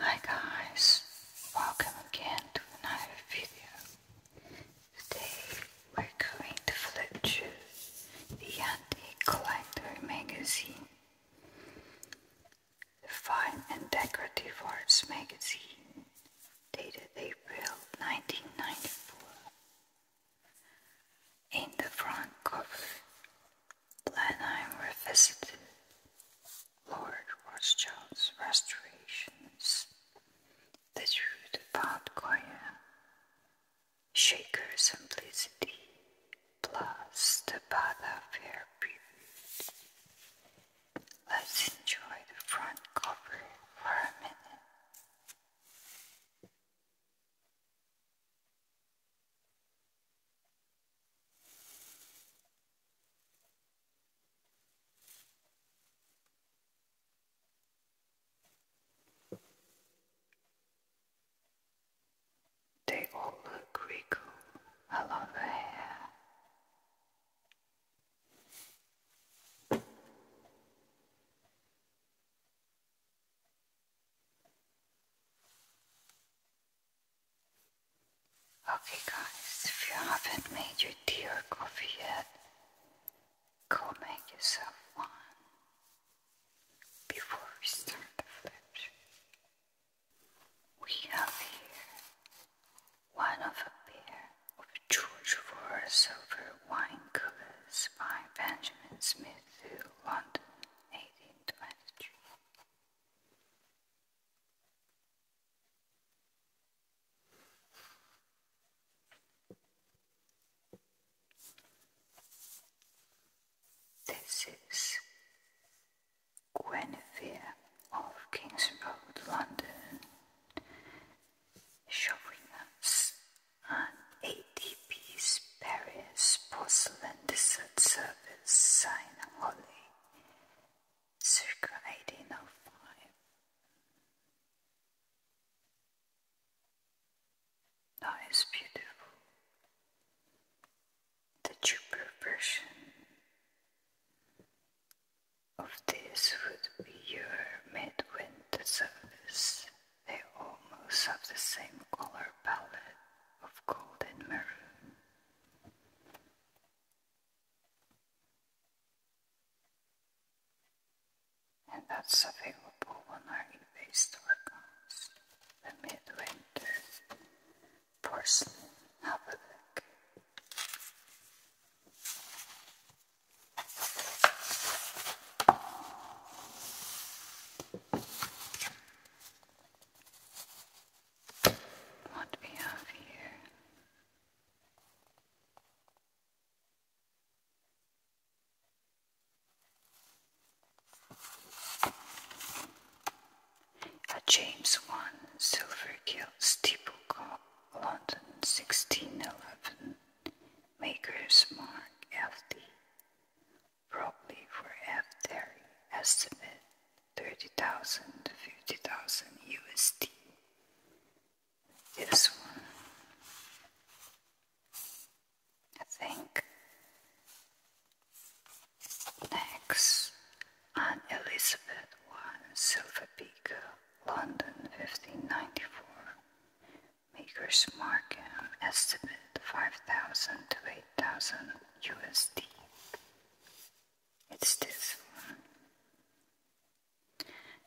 Hi guys, welcome again to another video. Today we're going to flip through the Antique Collector magazine, the Fine and Decorative Arts magazine, dated April 1994. In the front cover, Blenheim revisited Lord Rothschild's restorations, the truth about Goya, Shaker simplicity, plus the Bada Fair period. Let's enjoy the front cover for a minute. They all look wrinkled along the hair. Okay, guys, if you haven't made your tea or coffee yet, go make yourself one before we start the flip. We have here one of a pair of George Vora silver wine covers by Benjamin Smith through London, 1823. This is Guinevere of King's Road, London, showing us an ADP's Paris porcelain dessert service sign circa 1805. That is beautiful. The cheaper version of this would be your midwinter service. They almost have the same color palette of gold and maroon and that's available on our eBay store The Midwinter Porcelain. Have a look what we have here. A James One Silver Gilt Steeple London 1611 Maker's Mark FD, probably for F. Terry estimate 30,000, 50,000 USD. This one, I think. Next, Anne Elizabeth I, Silver beaker, London 1594. Maker's mark estimate 5,000 to 8,000 USD. It's this one.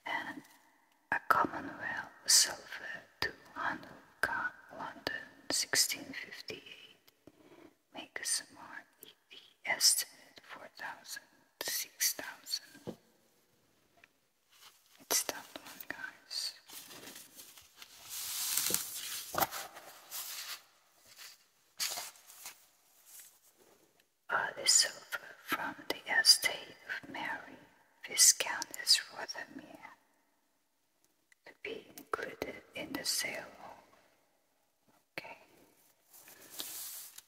And a Commonwealth silver to Hanukkah, London, 1658, make a more EV estimate 4,000 It's that one, guys. All Olisover from the estate of Mary, Viscountess Rothermere, to be included in the sale Okay,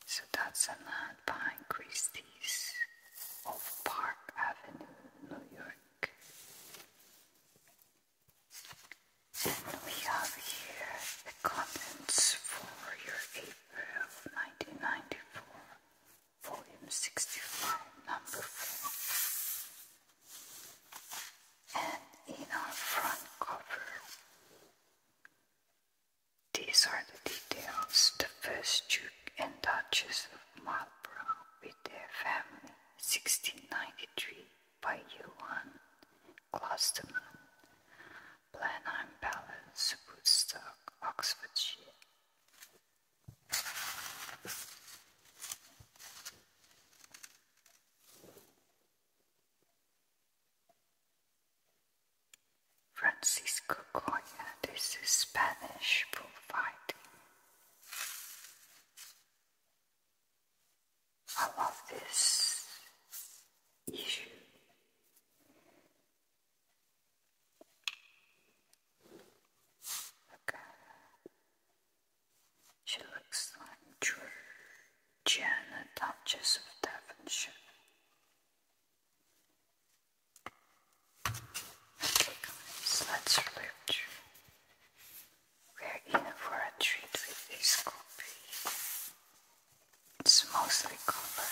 so that's a land behind Christie's of Park Avenue, New York. Then we have here the comments for your April 1994, volume 65, number 4. And in our front cover, these are the details. The first Duke and Duchess of Marlborough with their family, 1693 by Johann Blenheim Palace, Woodstock, Oxfordshire. Francisco Goya, this is Spanish bullfighting. I love this issue. Look She looks like Georgiana, Duchess of Devonshire. let's flip we're in for a treat with this copy. It's mostly copper,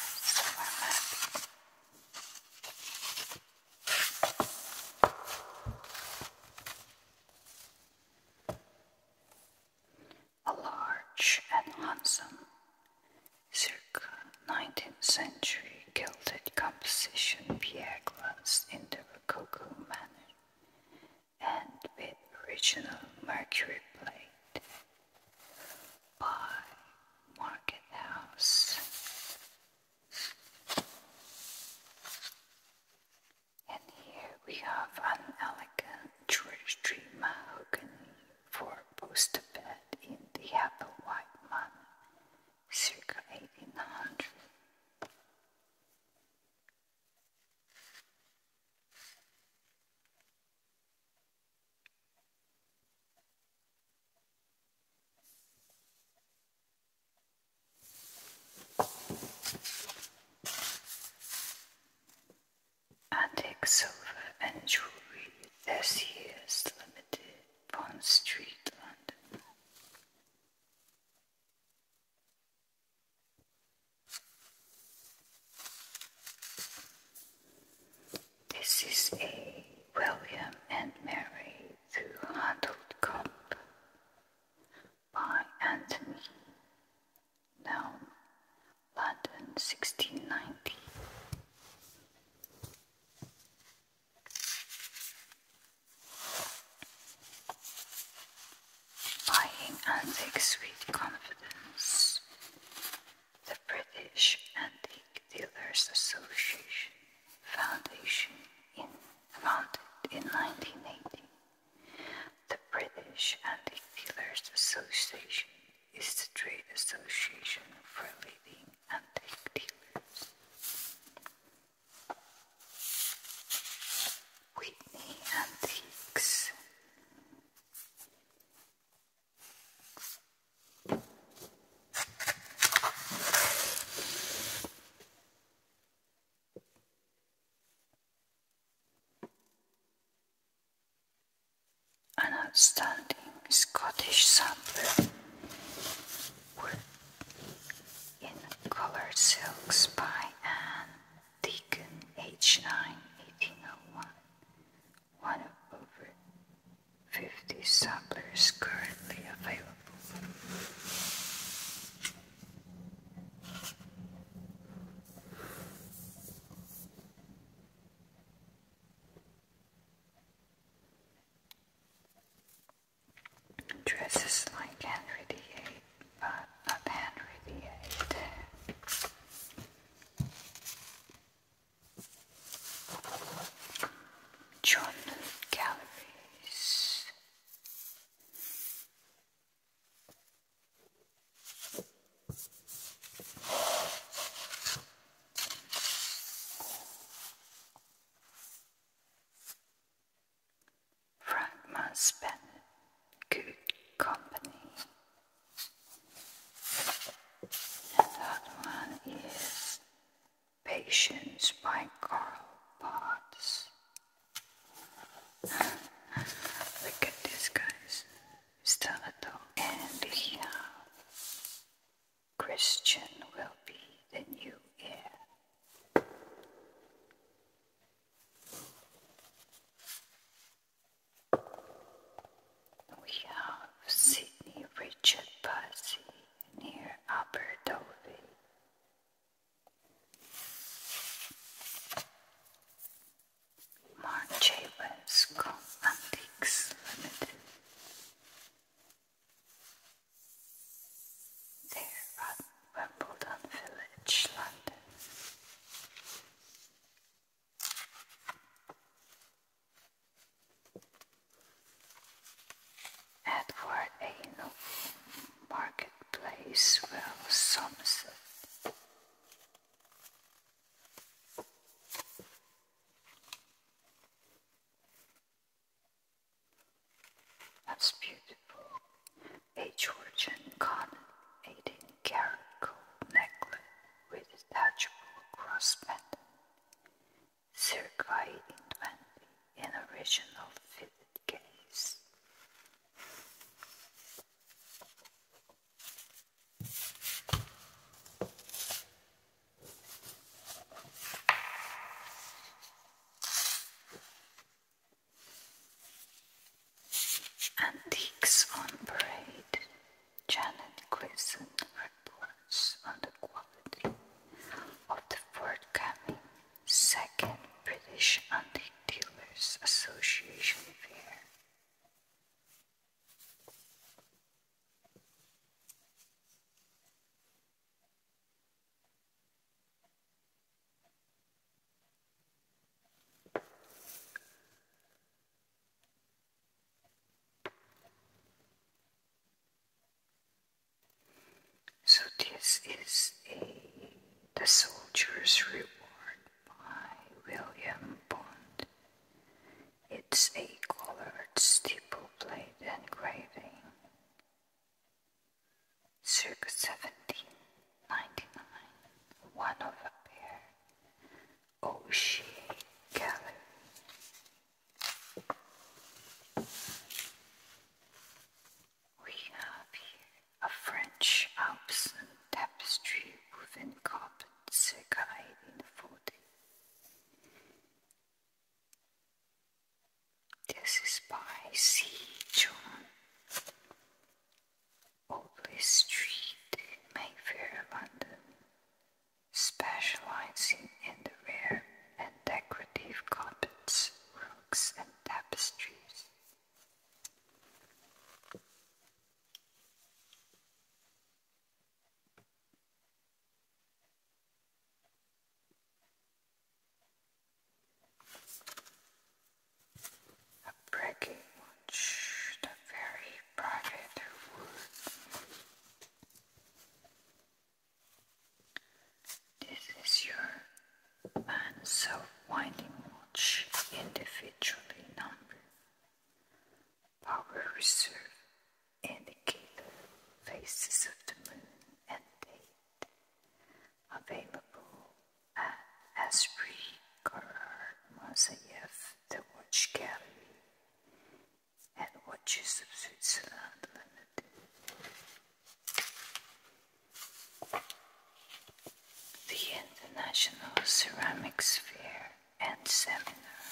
A large and handsome, circa 19th century gilded composition Pierre glass in the Rococo manner and with original mercury plate by Market House. And here we have an elegant George Tree mahogany for poster bed in the apple white circa 1800. Antique silver and jewellery, this year's limited, Bond Street, London. This is a William and Mary two-handled cup by Anthony, now London 1690 buying antiques with confidence. The British Antique Dealers Association Foundation founded in 1980. The British Antique Dealers Association is the trade association for leading antique dealers. Whitney Antiques. An outstanding Scottish sample in colored silks by Anne Deacon, H 9, 1801, of over 50 samplers currently available. Dresses like Henry VIII but Henry VIII. John Galleries. Frankman spent good company. And that one is Patience by Carl Potts. Look at this guys. Still a dog. And yeah. Christian will be the new year. We have Sydney Richard Bussey near Upper Dovey. Mark Chavez Limited. There are Wimbledon Village, London. Edward Anel Marketplace, Wells, Somerset. That's beautiful a Georgian garnet eighteen carat gold necklace with detachable cross pendant, circa 1820 in original fitted case. Antiques on Parade. Janet Gleason reports on the quality of the forthcoming second British Antique Dealers Association fair. So this is a The Soldier's Reward by William Bond. It's a colored steeple plate engraving circa 1799, one of a pair, O'Shea oh, Gallery. We have here a French Alpsin tapestry woven carpet, circa 1840. This is by C. John Oakley Street in Mayfair, London, specializing in the rare and decorative carpets, rugs, and tapestries. A breaking watch, the very private wood. This is your man. So winding watch, individually numbered. Power reserve indicator, faces of the moon and date. Available Asri Qarar Mazayev, the Watch Gallery and Watches of Switzerland The International Ceramic Sphere and Seminar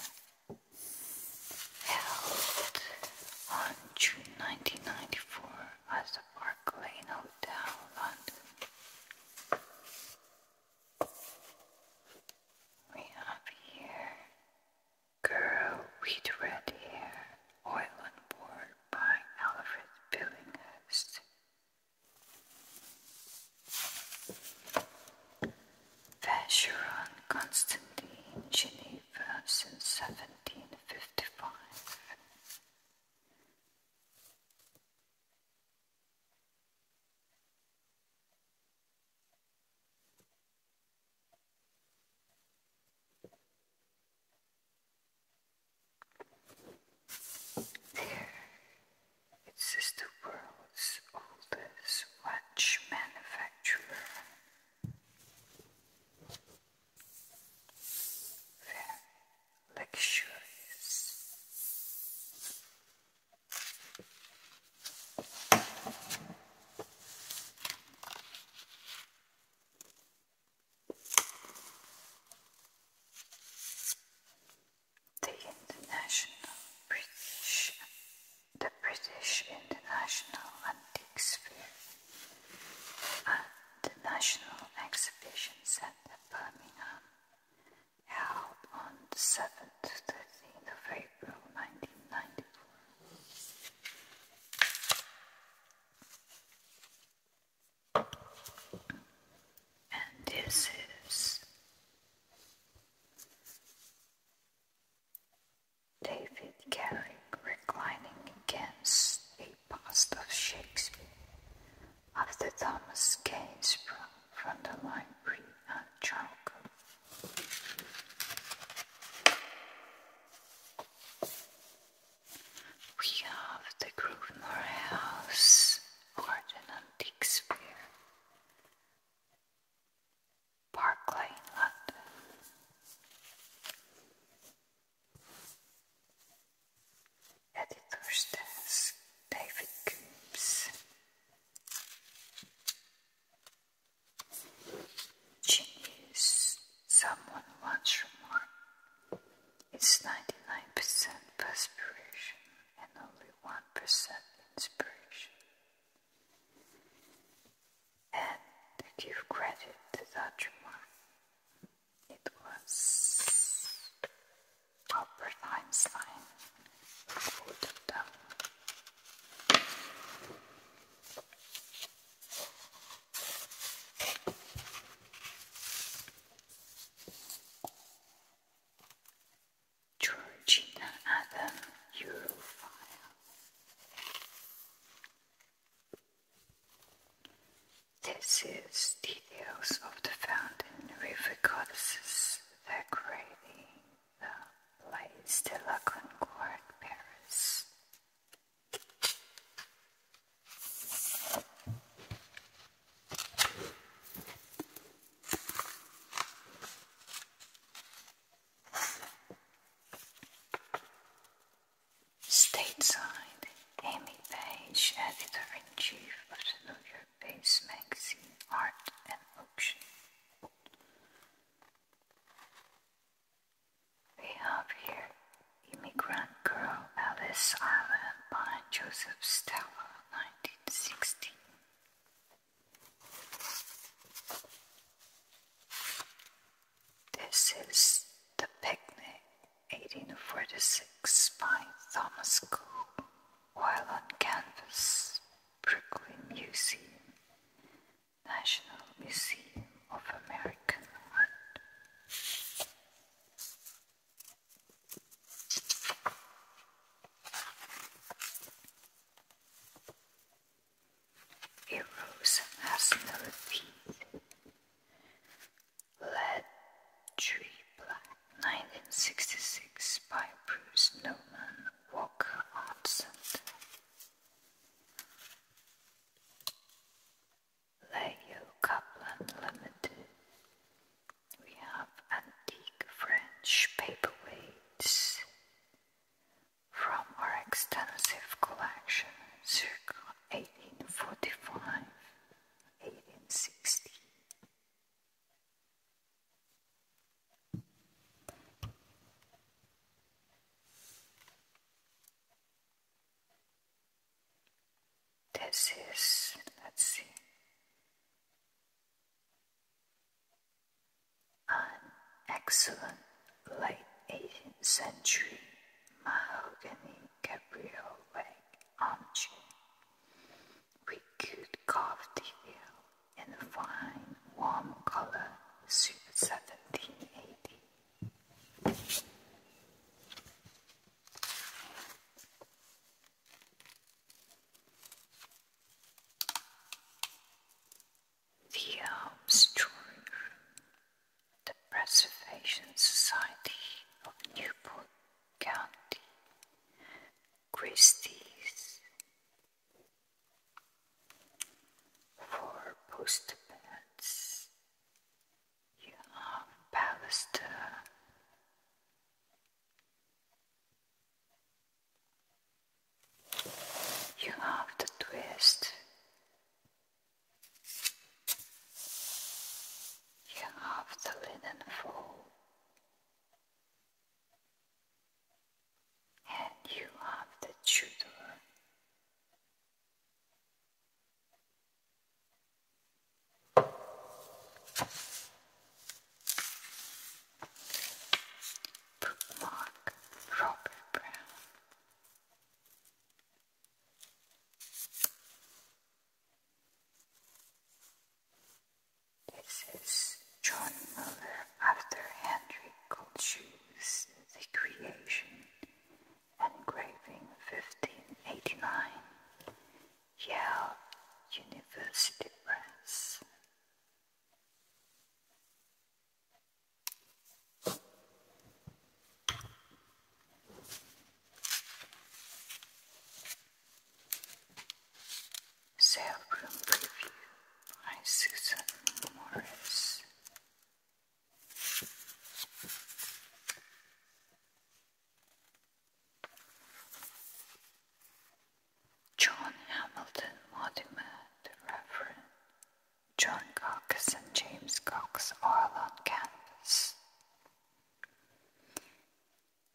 held on June 1994 as the Park Lane Hotel, London. We have here Girl with Red Hair, Oil on Board by Alfred Billinghurst. Vacheron Constantine, Geneva since 1755. There, it is the world's oldest watch manufacturer luxurious. The International British, the British International Antique Fair and the National Exhibition Centre at Birmingham, held on the 7th to 13th of April 1994. And this is David Garrick reclining against a past of Shakespeare after Thomas Kane from the library at Charlcote. We have the Grosvenor House Garden Antique Square, Park Lane, London. Editor's desk, David Coombs, Genius. Someone once remarked, "It's ninety-nine percent perspiration and only one percent inspiration." And to give credit to that remark, it was Albert Einstein put down. Georgina Adam Europhile this is details of the fountain with goddesses decorating the Place de la Concorde, Paris. Stateside, Amy Page, editor-in-chief of the New York-based magazine Art and Auction. We have here Immigrant Girl, Alice Island by Joseph Stella, 1916. This is the picnic 1846 by Thomas Cole, while on canvas, Brooklyn Museum, National Museum of American Art. Erosion has no Lead Tree Black, 1966 by Bruce Newman Walker Art Center. Leo Kaplan Limited. We have antique French paperweights from our extensive collection circa 1845. 1860. This is, let's see, an excellent late 18th century mahogany Gabriel leg object. We could carve the in a fine, warm color, super 1780. The Alps Story the Preservation Society of Newport County, Christie's, for poster You have Pallister. You have the twist you have the linen fold, and you have the Tudor. Bookmark Robert Brown. This is John Muller after Henry Goldshue's The Creation, engraving 1589, Yale University Press. Cellroom Preview by Susan Morris. John Hamilton Mortimer, Reverend John Cox and James Cox are on campus.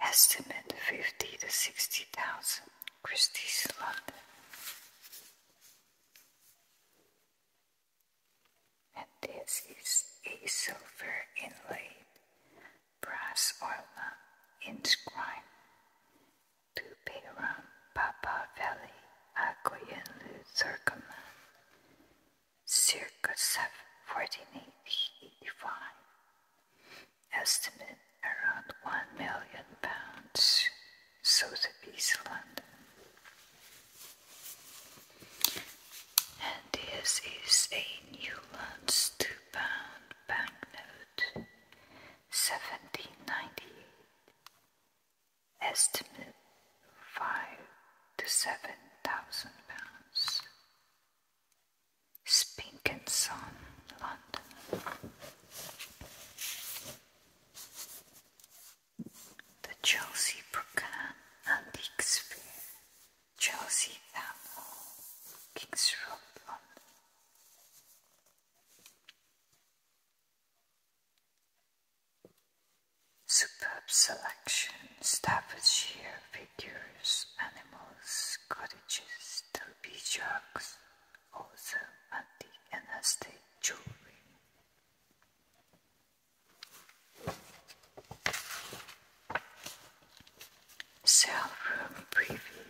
Estimate fifty to sixty thousand Christie's London. And this is a silver inlaid brass ornament inscribed to Peram Papa Valley Agoyan Circumland circa 714 85, estimate around 1 million pounds, south of East London. And this is a Newlands 2 pound banknote, 1798, estimate 5 to seven thousand pounds. Spink and Son, London. The Chelsea Brooklyn Antique Sphere, Chelsea Town Hall, Kings Road, London. Superb selection, Staffordshire figures, animals, cottages, derby jugs, also antique and estate jewelry. Cell room preview.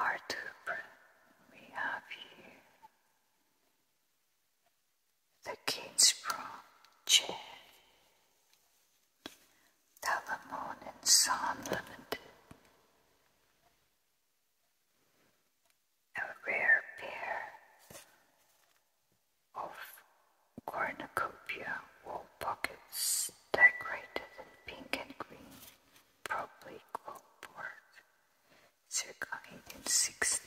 Our tube we have here the Kingsborough chair. Telemon and Sun Limited a rare pair of cornucopia wool pockets decorated in pink and green, probably clockwork, circa 1860.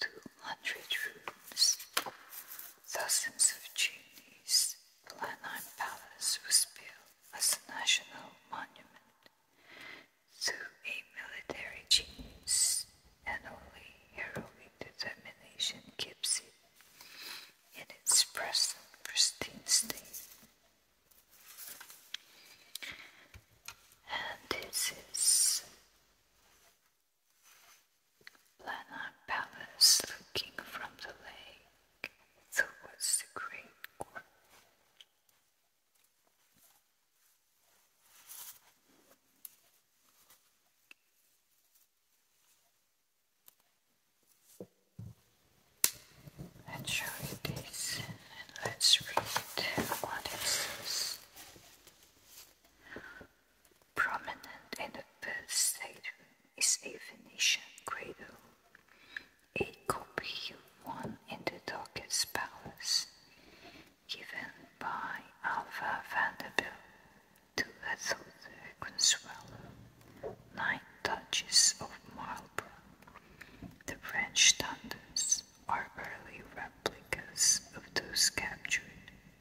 two hundred rooms, thousands of genies. The Blenheim Palace was built as a national monument to a military genius, and only heroic determination keeps it in its present pristine state and this is Lanai Palace looking from the lake towards the Great Court. And show you this. And Prominent in the birth Saturn is a Venetian cradle, a copy of one in the Docket's palace, given by Alva Vanderbilt to Ethelde Consuelo, nine duchess of Marlborough, the French standards are early replicas of those captured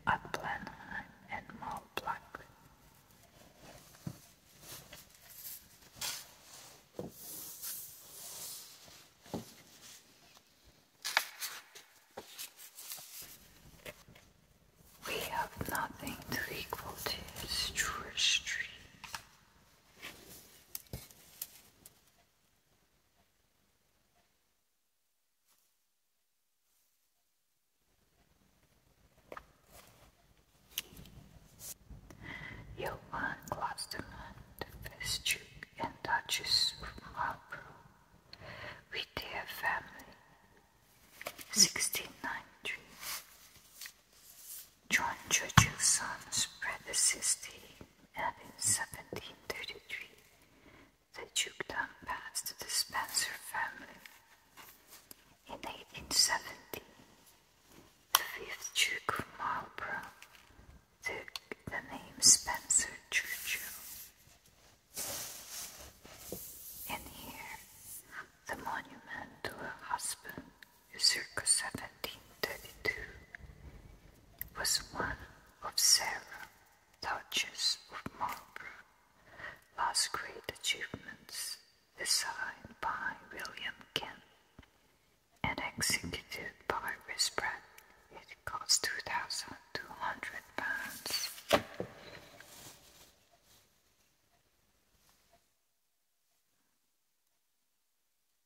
at Blenheim and Mall We have nothing to equal to true history. Johann Klosterman, the Archduke and Duchess of Marlborough, with their family, 1692. John Churchill's son spread his estate and in 1733 the dukedom passed to the Spencer family. In 1870, the fifth Duke of Marlborough took the name Spencer Churchill. And here, the monument to her husband is circa 1732 was one of Sarah, Duchess of Marlborough, last great achievements designed by William Kent and executed by Wisbret. It cost two thousand two hundred pounds.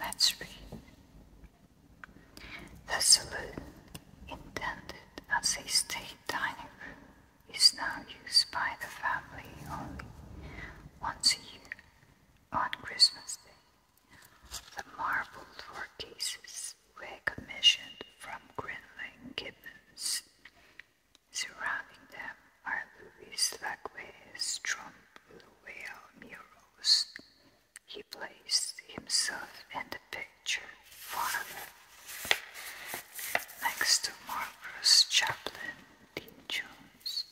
Let's read. The saloon, intended as a state dining room, is now used by the family only once a year on Christmas Day. The marble workpieces were commissioned from Greenland gibbons. Surrounding them are Louis Laguerre's trompe l'oeil murals. He placed himself in the picture Farley, next to Marcus Chaplin Dean Jones.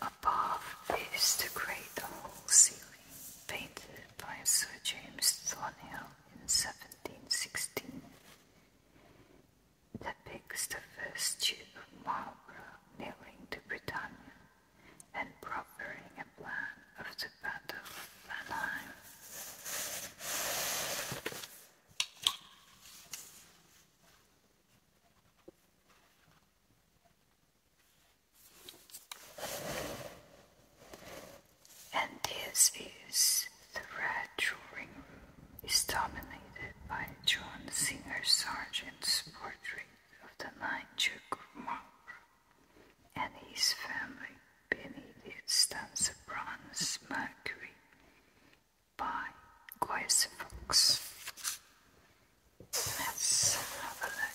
Above is the great hall ceiling, painted by Sir James Thornhill in 1716 depicts the first Duke of Marlborough kneeling to Britannia and proffering a plan of the Battle of Blenheim. And these views the red drawing room is dominated by John Singer Sargent's portrait of the Ninth Duke of Marlborough and his family beneath it stands a bronze mercury by Quasi Fox. Let's have a look.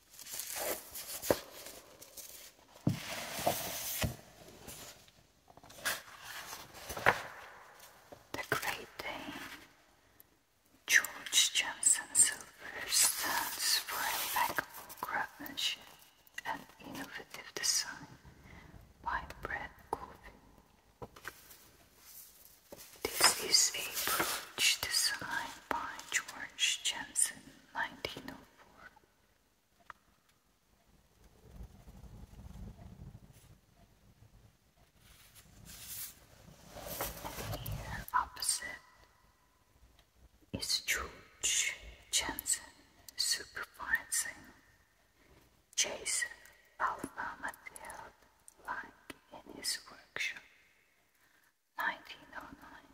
The Great Dane George Johnson Silver stands for impeccable craftsmanship and innovative design by Brett Coffin. This is a brooch designed by George Jensen, 1905. The opposite is George Jensen supervising Jason Alpha Mattel like in his workshop. 1909.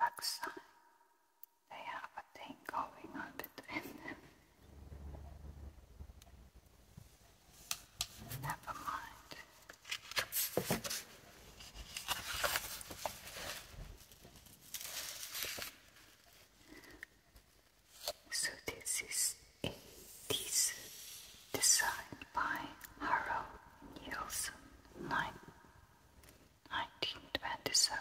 Lakshmi, they have a thing going on between them. Never mind. So this is a piece designed by Harold Nielsen. 1927.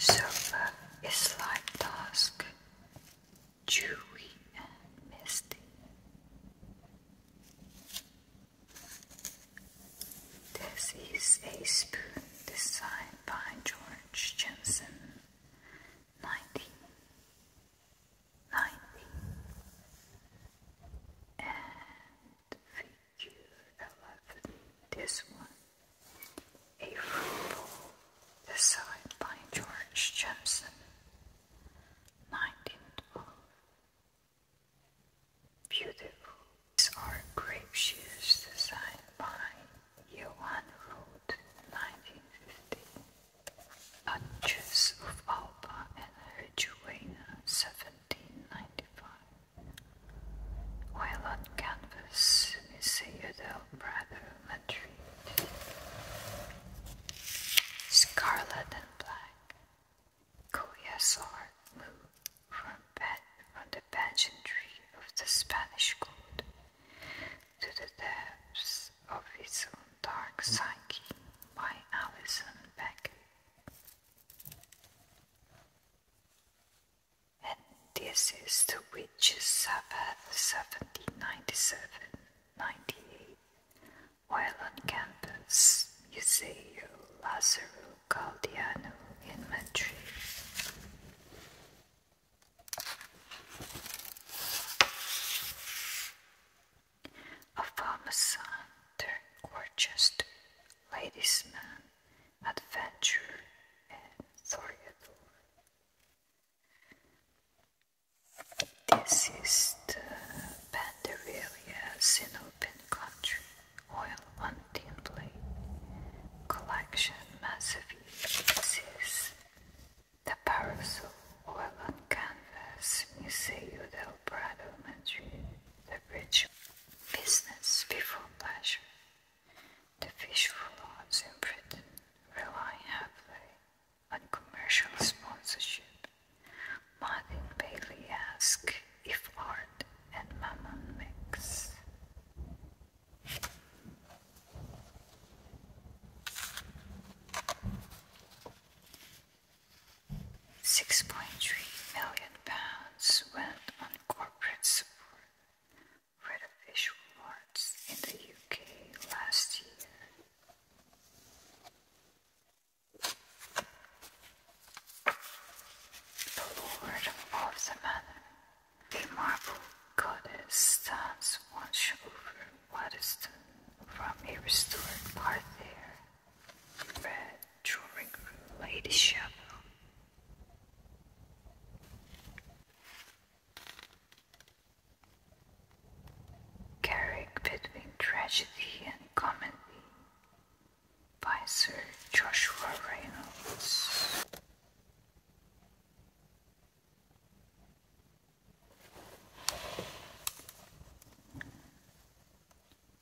Silver uh, is like dusk, dewy and misty. This is a spoon designed by George Jensen, 1990, and figure 11, this one, a fruit bowl designed by George Jensen, 1912. Beautiful. These are grape by Johann Roth 1950. Duchess of Alba and her 1795. While on canvas is a Udell Madrid. Scarlet and black. Goyasar moved from, from the pageantry of the Spanish court to the depths of his own dark psyche by Alison Beck. And this is the Witches' Sabbath 1797 98, while on campus, Museo Lazaro Galdiano in Madrid. A farmer's turned gorgeous ladies' adventurer, and Thoriador. This is the Pandarelia, an open country oil on tin plate. Collection massively The Parasol Oil on Canvas Museo del Prado, Madrid. The Rich Business Before Pleasure. The visual arts in Britain rely heavily on commercial sponsorship. Martin Bailey asks if art and mammon mix. Six point three million pounds went on corporate support for the arts in the UK last year. The Lord of the Manor. The marble goddess stands once over modest, from a restored part there. Red drawing room, Lady Chapel. Carrick between tragedy and comedy by Sir Joshua Reynolds.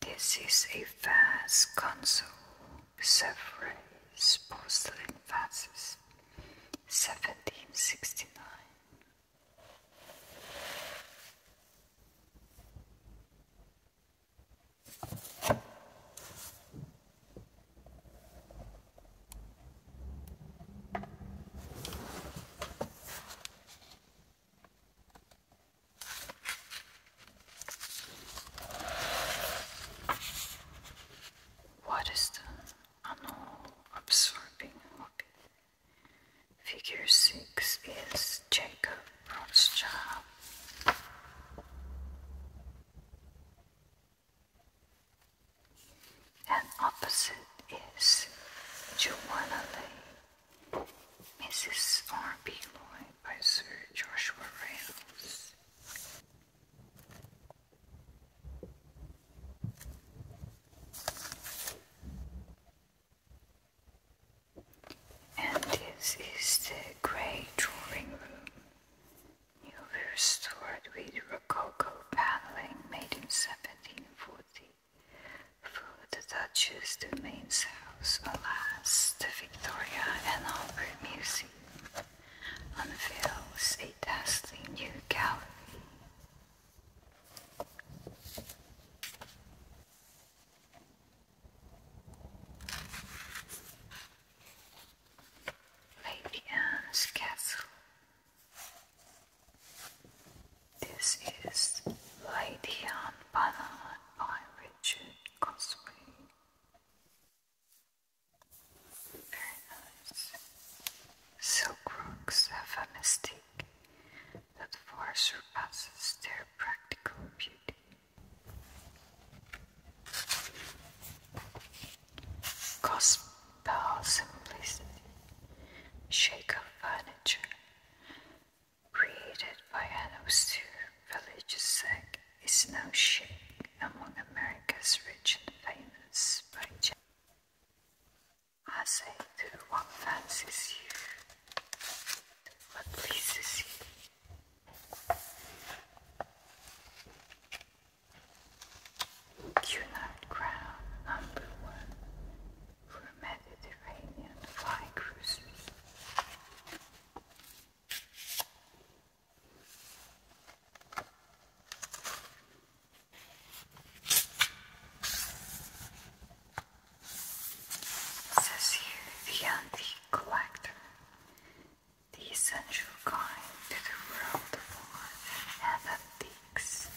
This is a vase console with several porcelain vases, 1769. What is the annual absorbing hobby? Figure 6 is Jacob and opposite is Joanna Lay, Mrs. R. B. Lloyd by Sir Joshua Reynolds. And this is the grey drawing room. You restored with rococo paneling made in 1740 for the Duchess de Maine's house, alas, the Victoria and Albert Museum unveils a dazzling new gallery. Fabian's castle. This is Lady on Banner by Richard Cosway. Very nice. Silk rocks have a mystique that far surpasses their practical beauty. Gospel simplicity, Shaker furniture, created by an austere religious is now shaken among America's rich and famous by as do what fancies you, what pleases you. Cunard Crown number one for Mediterranean fly cruises. It the antique collector the essential kind to the world of athletics.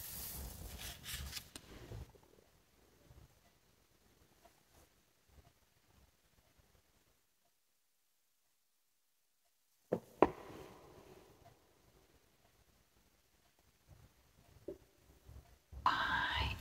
I